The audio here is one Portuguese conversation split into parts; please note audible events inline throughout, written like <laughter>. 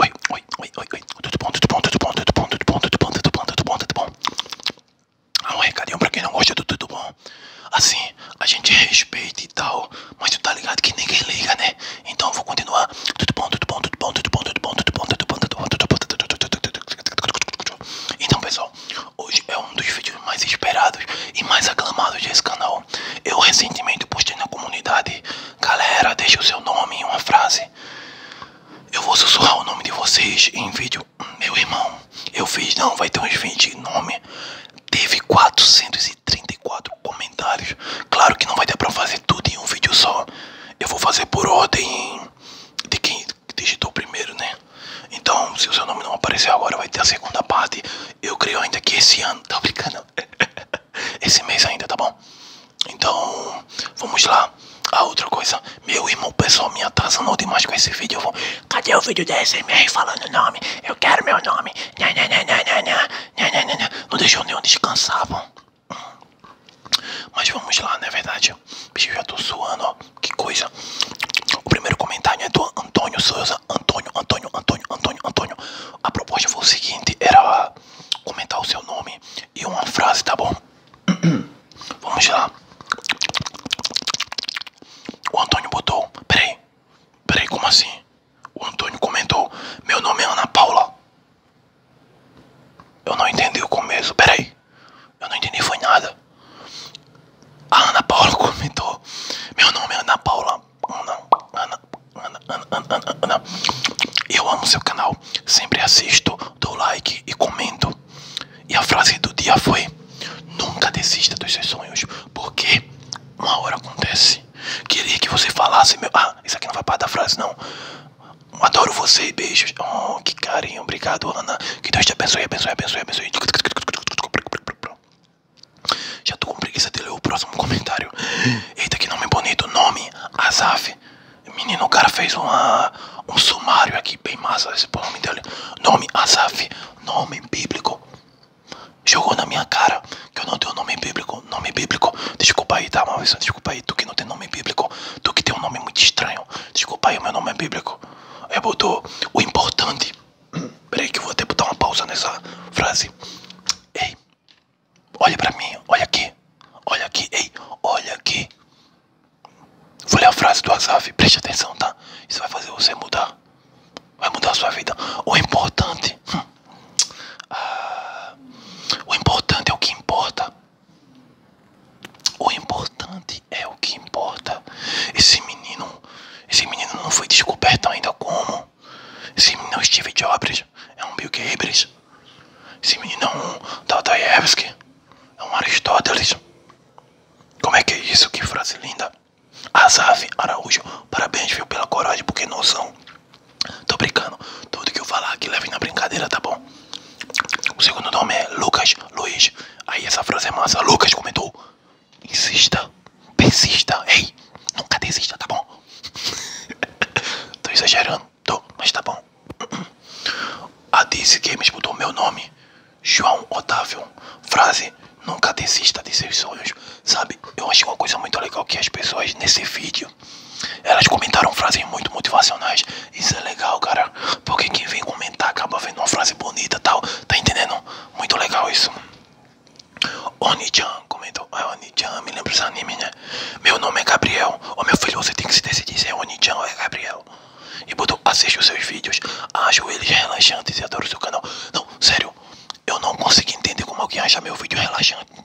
Oi, oi, oi, oi, oi. Tudo bom, tudo bom, tudo bom, tudo bom, tudo bom, tudo bom, tudo bom, tudo bom, tudo bom. Ah, um recadinho pra quem não gosta do tudo bom. Assim, a gente respeita e tal, mas tu tá ligado que ninguém liga, né? Então eu vou continuar. Tudo bom, tudo bom, tudo bom, tudo bom, tudo bom, tudo bom, tudo bom, tudo bom, tudo bom, tudo bom, tudo bom, tudo bom. Então, pessoal. Hoje é um dos vídeos mais esperados e mais aclamados desse canal. Eu recentemente postei na comunidade, galera, deixa o seu nome em uma frase. Eu vou sussurrar o nome de vocês em vídeo. Meu irmão, eu fiz, não, vai ter uns 20 nomes. Teve 434 comentários. Claro que não vai ter pra fazer tudo em um vídeo só. Eu vou fazer por ordem de quem que digitou primeiro, né? Então, se o seu nome não aparecer agora, vai ter a segunda parte. Eu creio ainda que esse ano, <laughs> tá brincando? <laughs> esse mês ainda, tá bom? Então, vamos lá. A outra coisa, meu irmão, pessoal, me atrasando demais com esse vídeo. Cadê o vídeo da SMR falando nome? Eu quero meu nome. Não deixou nenhum descansar, bom? Mas vamos lá, na é verdade? gente. Bicho, já tô suando, ó. Que coisa. O primeiro comentário é do Antônio Souza. Antônio, Antônio, Antônio, Antônio, Antônio. A proposta foi o seguinte: era comentar o seu nome e uma frase, tá bom? <clears throat> Vamos lá. O Antônio botou. Peraí. Peraí, como assim? O Antônio comentou. Meu nome é Ana Paula. Eu não entendi o começo. Peraí. Eu não entendi foi nada. A Ana Paula comentou. Meu nome é Ana Paula. Ana, Ana, Ana, Ana, Ana, Ana. Eu amo seu canal. Sempre assisto, dou like e comento. E a frase do dia foi: Nunca desista dos seus sonhos, porque uma hora acontece. Queria que você falasse, meu. Ah, isso aqui não vai parar da frase, não. Adoro você, beijos. Oh, que carinho. Obrigado, Ana. Que Deus te abençoe, abençoe, abençoe, abençoe. Já tô com preguiça de ler o próximo comentário. Eita, que nome bonito. Nome, Azaf. Menino, o cara fez uma, um sumário aqui, bem massa esse nome dele. Nome, Azaf. Nome bíblico. Jogou na minha cara que eu não tenho nome bíblico. Nome bíblico. Desculpa aí, tá, uma vez Desculpa aí. Tu que não tem nome bíblico. Tu que tem um nome muito estranho. Daniel. Desculpa aí, meu nome é bíblico. Eu botou o importante. <clears throat> Peraí que eu vou até botar uma pausa nessa frase. Ei, olha pra mim, olha aqui. Olha aqui, ei, olha aqui. Vou ler a frase do Azaf, preste atenção, tá? Isso vai fazer você mudar. Vai mudar a sua vida. O importante. Hum. Ah, o importante é o que importa. O importante é o que importa. Esse menino, esse menino não foi descoberto ainda como. Esse menino é um Steve Jobs, é um Bill Gates. Esse menino é um Dostoiévski, é um Aristóteles. Como é que é isso? Que frase linda. Azaf Araújo, parabéns, viu, pela coragem, porque noção. Tô brincando. Tudo que eu falar aqui leve na brincadeira, tá bom? O segundo nome é Lucas Luiz. Aí essa frase é massa. Lucas comentou: insista, persista, ei, nunca desista, tá bom? <laughs> tô exagerando, tô, mas tá bom. <clears throat> A que Games botou meu nome, João Otávio. Frase: nunca desista de seus sonhos. Sabe, eu acho uma coisa muito legal que as pessoas nesse vídeo elas comentaram frases muito motivacionais. Isso é legal, cara. Porque quem vem comentar acaba vendo uma frase bonita tal. Tá entendendo? Muito legal isso. Oni-chan comentou. Ah, Oni-chan, me lembro dos anime, né? Meu nome é Gabriel. Ô meu filho, você tem que se decidir se é Oni-chan ou é Gabriel. E botou, assisto os seus vídeos. Acho eles relaxantes e adoro seu canal. Não, sério. Eu não consigo entender como alguém acha meu vídeo relaxante.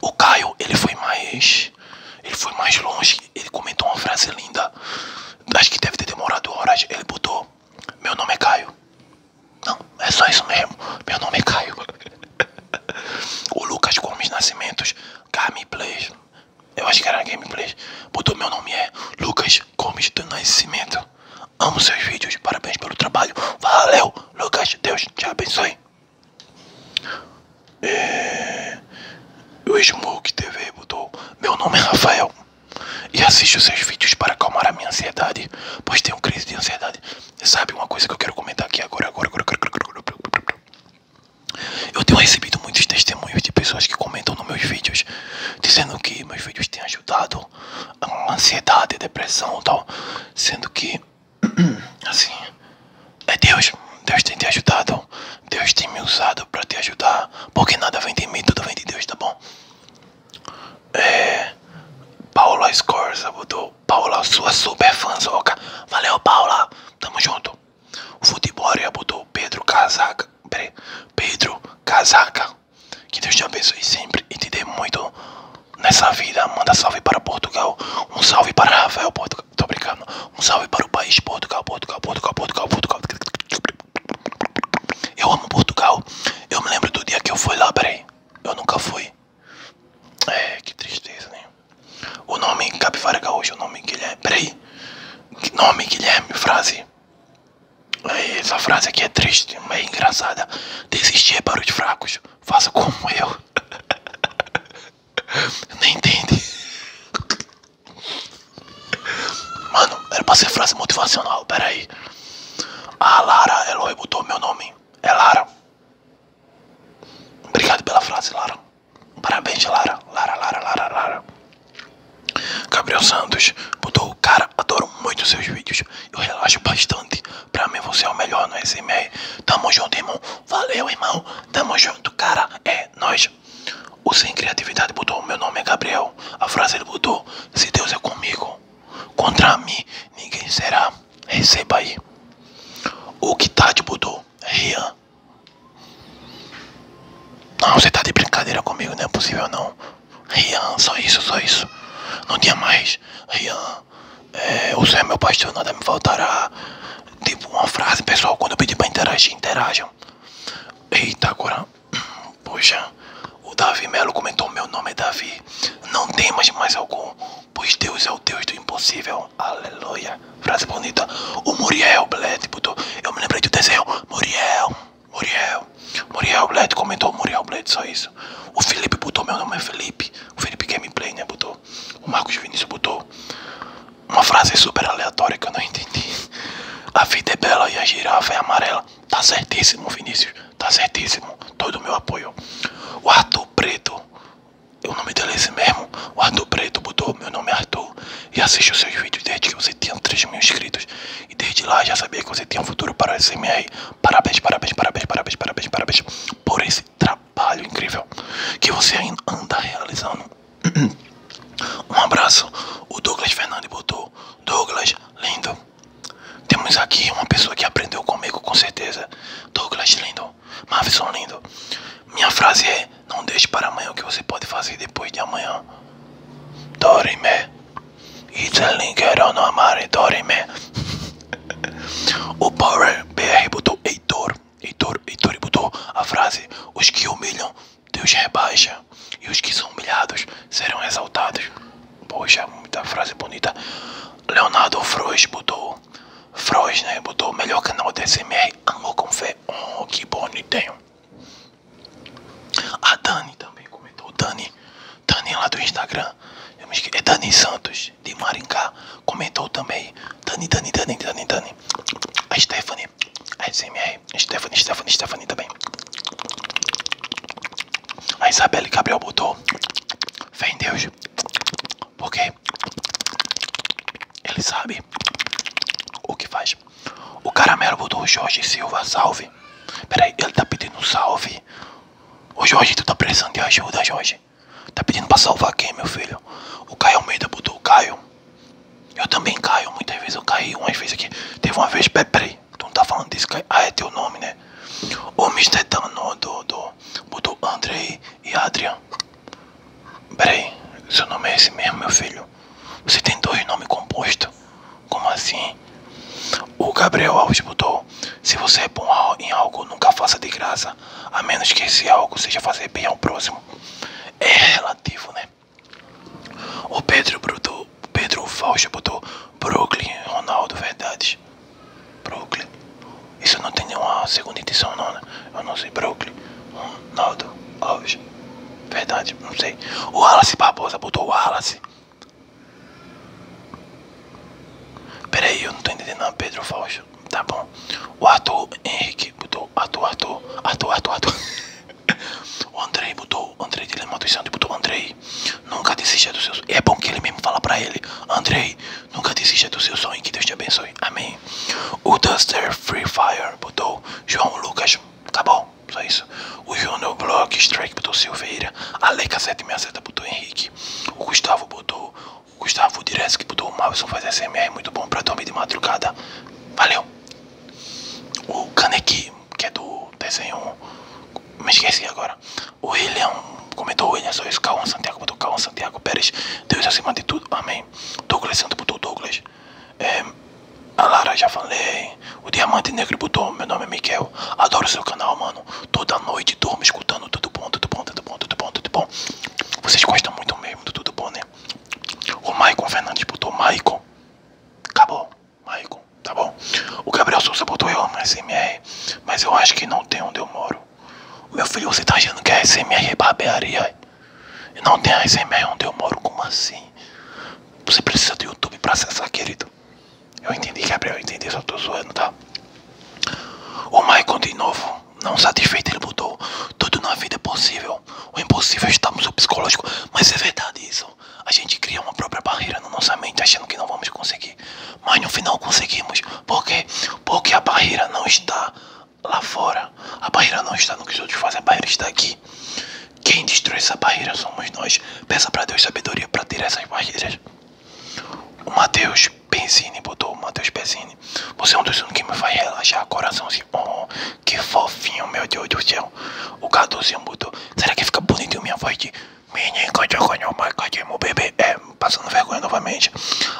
O Caio, ele foi mais. Ele foi mais longe. Ele comentou uma frase linda. Acho que deve ter demorado horas. Ele botou: Meu nome é Caio. Não, é só isso mesmo. Meu nome é Caio. <laughs> o Lucas Gomes Nascimentos, Gameplays. Eu acho que era Gameplays. Botou: Meu nome é Lucas Gomes do Nascimento. Amo seus vídeos. Parabéns pelo trabalho. Valeu, Lucas. Deus te abençoe. É... O Smoke TV botou: Meu nome é Rafael e assisto seus vídeos para acalmar a minha ansiedade, pois tenho crise de ansiedade. Sabe uma coisa que eu quero comentar aqui agora? agora, agora, eu tenho recebido muitos testemunhos de pessoas que comentam nos meus vídeos, dizendo que meus vídeos têm ajudado a ansiedade, depressão e tal, sendo que assim, é Deus. Deus tem te ajudado. Deus tem me usado para te ajudar. Porque nada vem de mim, tudo vem de Deus, tá bom? É. Paula Scorza botou. Paula, sua super fanzoca. Valeu, Paula. Tamo junto. O Futebória botou Pedro Casaca. Pedro Casaca. Que Deus te abençoe sempre e te dê muito nessa vida, manda salve para Portugal, um salve para Rafael Portugal, tô brincando, um salve para o país Portugal, Portugal, Portugal, Portugal, Portugal. Eu amo Portugal, eu me lembro do dia que eu fui lá, peraí, eu nunca fui. É, que tristeza, né? O nome Capivara Gaúcho, o nome Guilherme, peraí, nome Guilherme, frase. É, essa frase aqui é triste, mas é engraçada. Desistir é para os fracos. Faça como eu. <laughs> Nem entende. Mano, era pra ser frase motivacional, Pera aí. A Lara Eloy botou meu nome. É Lara. Obrigado pela frase, Lara. Parabéns, Lara. Lara, Lara, Lara, Lara. Gabriel Santos botou, cara, adoro muito seus vídeos. Eu relaxo bastante. Pra mim você é o melhor no SMA. Tamo junto, irmão. Valeu, irmão. Tamo junto, cara. É nós. O Sem Criatividade botou: Meu nome é Gabriel. A frase ele botou: Se Deus é comigo, contra mim ninguém será. Receba aí. O que tá de botou: Rian. Não, você tá de brincadeira comigo, não é possível não. Rian, só isso, só isso. Não tinha mais. Rian, é, o céu é meu pastor, nada me faltará. Tipo uma frase, pessoal, quando eu pedi pra interagir, interajam. Eita, agora. <clears throat> Poxa, o Davi Melo comentou: Meu nome é Davi. Não tem mais mais algum, pois Deus é o Deus do impossível. Aleluia. Frase bonita. O Muriel Bled botou: tipo, Eu me lembrei do desenho. Muriel. Muriel. Muriel Blade comentou Muriel Blade só isso. O Felipe botou, meu nome é Felipe. O Felipe Gameplay, né? Botou. O Marcos Vinícius botou uma frase super aleatória que eu não entendi. A vida é bela e a girafa é amarela. Tá certíssimo, Vinícius. Tá certíssimo. Todo o meu apoio. O Arthur Preto. O nome dele é esse mesmo. O Arthur Preto botou. Meu nome é Arthur. E os seus vídeos desde que você tinha 3 mil inscritos. E desde lá já sabia que você tinha um futuro para o SMR. Parabéns, parabéns, parabéns, parabéns, parabéns, parabéns por esse trabalho incrível que você ainda anda realizando. <clears throat> Um abraço, o Douglas Fernandes botou. Douglas, lindo. Temos aqui uma pessoa que aprendeu comigo, com certeza. Douglas, lindo. Mavison, lindo. Minha frase é: não deixe para amanhã o que você pode fazer depois de amanhã. Dorime. Italinkero amare me O Power BR botou Heitor. Heitor, Heitor botou a frase: Os que humilham, Deus rebaixa. E os que são humilhados serão exaltados. Poxa, muita frase bonita. Leonardo Frois botou. Frois, né? Botou melhor canal DSMR. Amor com fé. Oh, que bonitinho. A Dani também comentou. Dani, Dani lá do Instagram. É Dani Santos, de Maringá. Comentou também. Dani, Dani, Dani, Dani, Dani. A Stephanie. A SMR. Stephanie, Stephanie, Stephanie também. A Isabelle Gabriel botou. Fé em Deus. Porque ele sabe o que faz. O caramelo botou o Jorge Silva, salve. Peraí, ele tá pedindo salve. Ô Jorge, tu tá precisando de ajuda, Jorge. Tá pedindo pra salvar quem, meu filho? O Caio Almeida botou o Caio. Eu também caio, muitas vezes eu caí, umas vezes aqui. Teve uma vez, peraí, tu não tá falando desse Caio? Ah, é teu nome, né? O Mr. Dano do, do, botou Andrei e Adrian. Peraí, seu nome é esse mesmo, meu filho? Você tem dois nomes compostos? Como assim? O Gabriel Alves botou: Se você é bom em algo, nunca faça de graça, a menos que esse algo seja fazer bem ao próximo. É relativo, né? O Pedro Bruto, Pedro Fausto botou: Brooklyn, Ronaldo, verdade. Brooklyn. Isso não tem nenhuma segunda edição, não, né? Eu não sei. Brooklyn, Ronaldo Alves. Verdade, não sei. O Wallace Barbosa botou o Wallace. Peraí, eu não tô entendendo Pedro Fausto. Tá bom. O Arthur Henrique botou Arthur, Arthur, Arthur, Arthur, Arthur. <laughs> o Andrei botou, Andrei de Lema dos Santos botou Andrei. Nunca desista dos seus. É bom que ele mesmo fala pra ele. Andrei, nunca desista do seu sonho. Que Deus te abençoe. Amém. O Duster Free Fire botou João Lucas. Acabou. Tá só isso. O Júnior Block Strike botou Silveira. A Leica 767 botou Henrique. O Gustavo botou. O Gustavo Direz que botou o Mavison faz SMR muito bom pra dormir de madrugada. Valeu. O Kaneki, que é do desenho. Me esqueci agora. O William comentou William, só isso. Calma Santiago botou Calma Santiago Pérez. Deus acima de tudo. Amém. Douglas Santos botou Douglas. É, a Lara já falei. O Diamante Negro botou. Meu nome é Miguel. Adoro seu canal, mano. Toda noite durmo escutando tudo bom, tudo bom, tudo bom, tudo bom, tudo bom. Vocês gostam muito mesmo do tudo bom, né? O Maicon Fernandes botou Maicon. Acabou. Maicon, tá bom. O Gabriel Souza botou eu amo SMR. Mas eu acho que não tem onde eu moro. Meu filho, você tá achando que é SMR é barbearia? E não tem ASMR onde eu moro, como assim? Você precisa do YouTube pra acessar, querido. Eu entendi, Gabriel, eu entendi, só tô zoando, tá? O Michael de novo, não satisfeito, ele botou Tudo na vida é possível. O impossível é está no psicológico. Mas é verdade isso. A gente cria uma própria barreira na nossa mente achando que não vamos conseguir. Mas no final conseguimos. Por quê? Porque a barreira não está lá fora. A barreira não está no que os outros fazem, a barreira está aqui. Quem destruiu essa barreira somos nós. Peça para Deus sabedoria para tirar essas barreiras. O Matheus Penzini botou, o Matheus Penzini. Você é um dos únicos que me faz relaxar, coraçãozinho. Oh, que fofinho, meu Deus do céu. O Caduzinho botou. Será que fica bonitinho minha voz de menino, meu bebê? É, passando vergonha novamente.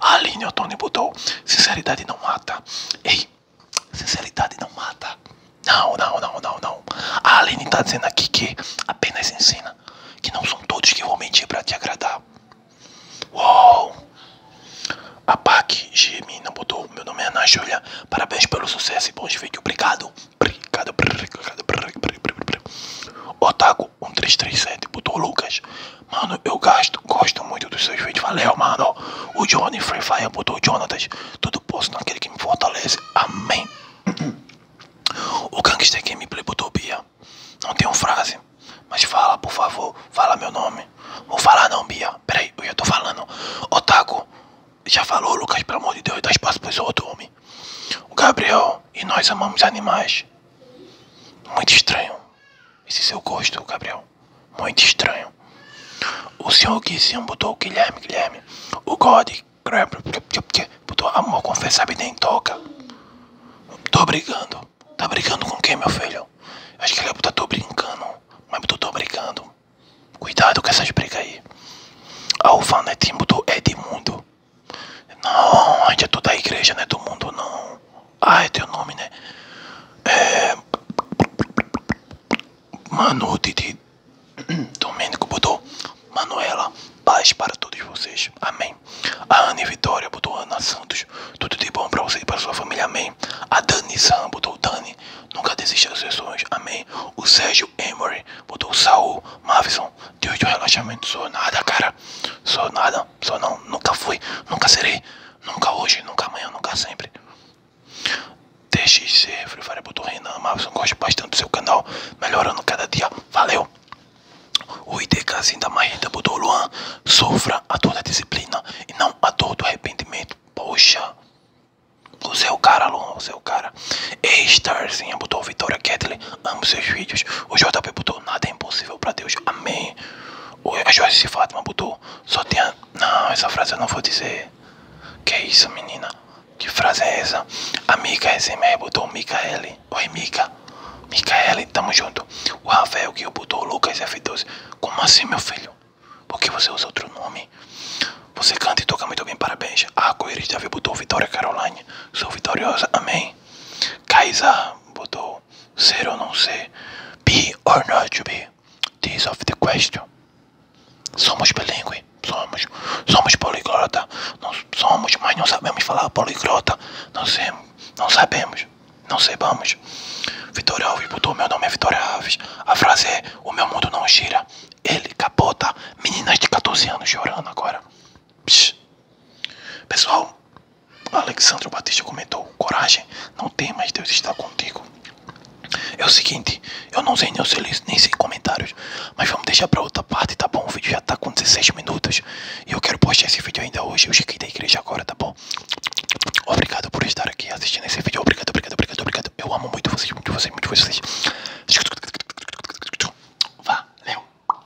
A Aline Otoni botou. Sinceridade não mata. Ei. Sinceridade não mata. Não, não, não, não, não. A Aline tá dizendo aqui que apenas ensina. Que não são todos que vão mentir pra te agradar. Uou! A PAC GM não botou. Meu nome é Ana Parabéns pelo sucesso e bons vídeos. Obrigado. Obrigado. Obrigado. Obrigado. Obrigado. Obrigado. Otago 1337 botou Lucas. Mano, eu gasto, gosto muito dos seus vídeos. Valeu, mano. O Johnny Free Fire botou o Jonatas. Tudo posto naquele que me fortalece. Amém. O Gangster Gameplay botou Bia. Não tem tenho frase. Mas fala, por favor. Fala meu nome. Vou falar não, Bia. Peraí, eu já tô falando. Otaku. Já falou, Lucas, pelo amor de Deus. Dá espaço pros outros, homem. O Gabriel e nós amamos animais. Muito estranho. Esse seu gosto, Gabriel. Muito estranho. O senhor Guizinho botou o Guilherme, Guilherme. O God botou amor, confessar nem toca. Tô brigando. Tá brigando com quem, meu filho? Acho que ele botou é tô brincando. Mas eu tô brigando. Cuidado com essas brigas aí. A Ufanetim botou mundo Não, a gente é toda a igreja, não é do mundo, não ai ah, é teu nome, né? É. Manu Didi Domênico botou Manuela, paz para todos vocês, amém. A Ana Vitória botou Ana Santos, tudo de bom para você e para sua família, amém. A Dani Sam botou Dani, nunca desista das seus sonhos, amém. O Sérgio Emory botou Saul, Mavison, Deus do relaxamento, sou nada, cara, sou nada só não, nunca fui, nunca serei, nunca hoje, nunca amanhã, nunca sempre. TXC, Free Fire botou Renan, Mavison, gosto bastante do seu canal, melhorando cada dia, valeu! O IDKzinho da Marreta botou Luan, sofra a dor da disciplina e não a dor do arrependimento, poxa! Você é o cara, Luan, você é o cara. E-Starzinha botou Vitória Ketley, amo seus vídeos. O JP botou Nada é impossível pra Deus, amém oi A Joyce Fátima botou. Só tem a... Não, essa frase eu não vou dizer. Que é isso, menina? Que frase é essa? amiga Mica é SMR botou Micaele. É oi, Mica. Micaele, tamo junto. O Rafael que eu botou Lucas F12. Como assim, meu filho? Por que você usa outro nome? Você canta e toca muito bem, parabéns. A Arco-Íris Davi botou Vitória Caroline. Sou vitoriosa, amém. Kaisa botou ser ou não ser, be or not to be, this of the question. Somos bilíngue, somos, somos poliglota, não somos, mas não sabemos falar poliglota, não, sei, não sabemos, não saibamos. Vitória Alves botou meu nome é Vitória Alves, a frase é, o meu mundo não gira, ele capota, meninas de 14 anos chorando agora. Pessoal, Alexandre Batista comentou: Coragem, não tem, temas, Deus está contigo. É o seguinte, eu não sei nem se li, nem sei comentários, mas vamos deixar para outra parte, tá bom? O vídeo já tá com 16 minutos e eu quero postar esse vídeo ainda hoje. Eu cheguei da igreja agora, tá bom? Obrigado por estar aqui assistindo esse vídeo. Obrigado, obrigado, obrigado, obrigado. Eu amo muito vocês, muito vocês, muito vocês. Valeu.